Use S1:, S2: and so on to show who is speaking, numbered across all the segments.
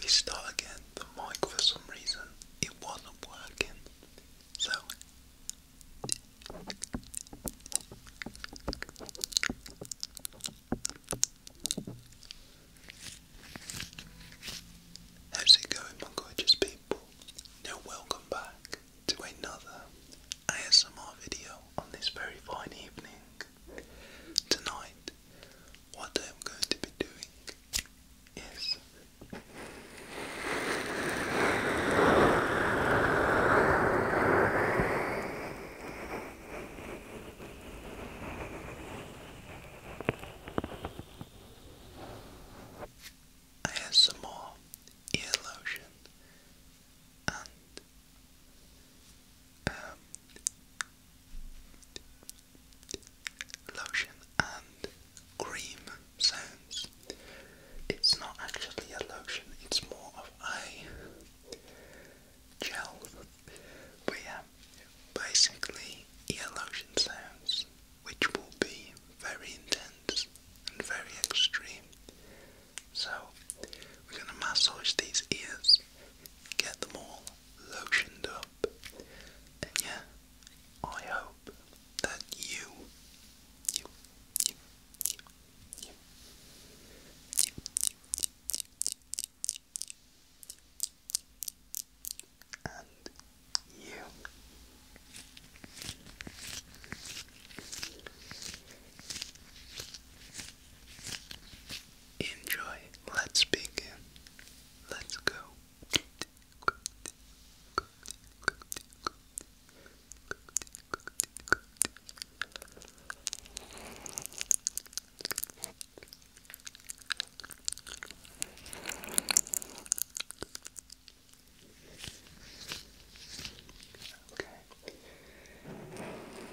S1: We start again. The mic for some reason it wasn't working. So How's it going my gorgeous people? Now welcome back to another ASMR video on this very fine evening. Tonight, what I'm going to be doing is I have some more ear lotion and um, lotion and cream sounds. It's not actually a lotion, it's more of a gel. But yeah, basically ear lotion sounds, which will be very intense and very extreme. So we're going to massage these ears, get them all lotioned up. And yeah, I hope that you, you, you, you, you, you, and you enjoy. Let's begin. Let's go. Okay.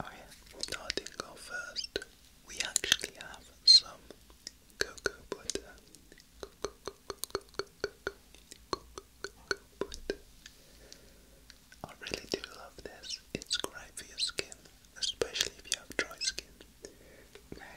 S1: Oh yeah, starting off first, we actually have some cocoa butter. Cocoa, cocoa, cocoa, cocoa, butter. I really do love this. It's great for your skin, especially if you have dry skin. Now,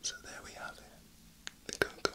S1: So there we have it, the cocoa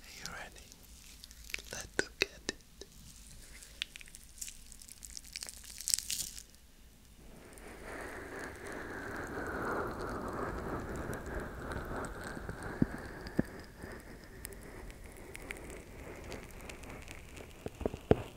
S1: Are you ready? Let's look at it. Good.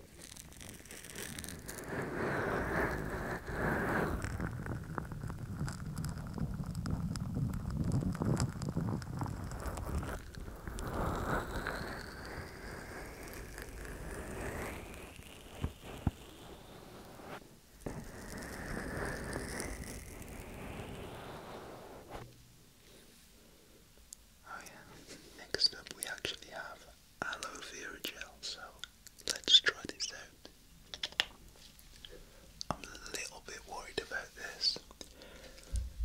S1: Oh, yeah, next up we actually have aloe vera gel, so let's try this out. I'm a little bit worried about this.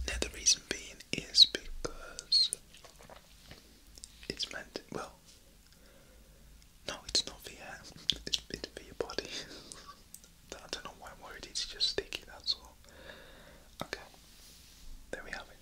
S1: Now the reason being is because it's meant well no it's not for your it's, it's for your body. I don't know why I'm worried, it's just sticky, that's all. Okay. There we have it.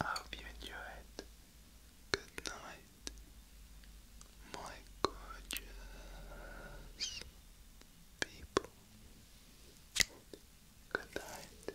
S1: I hope you enjoyed. Good night, my gorgeous people. Good night.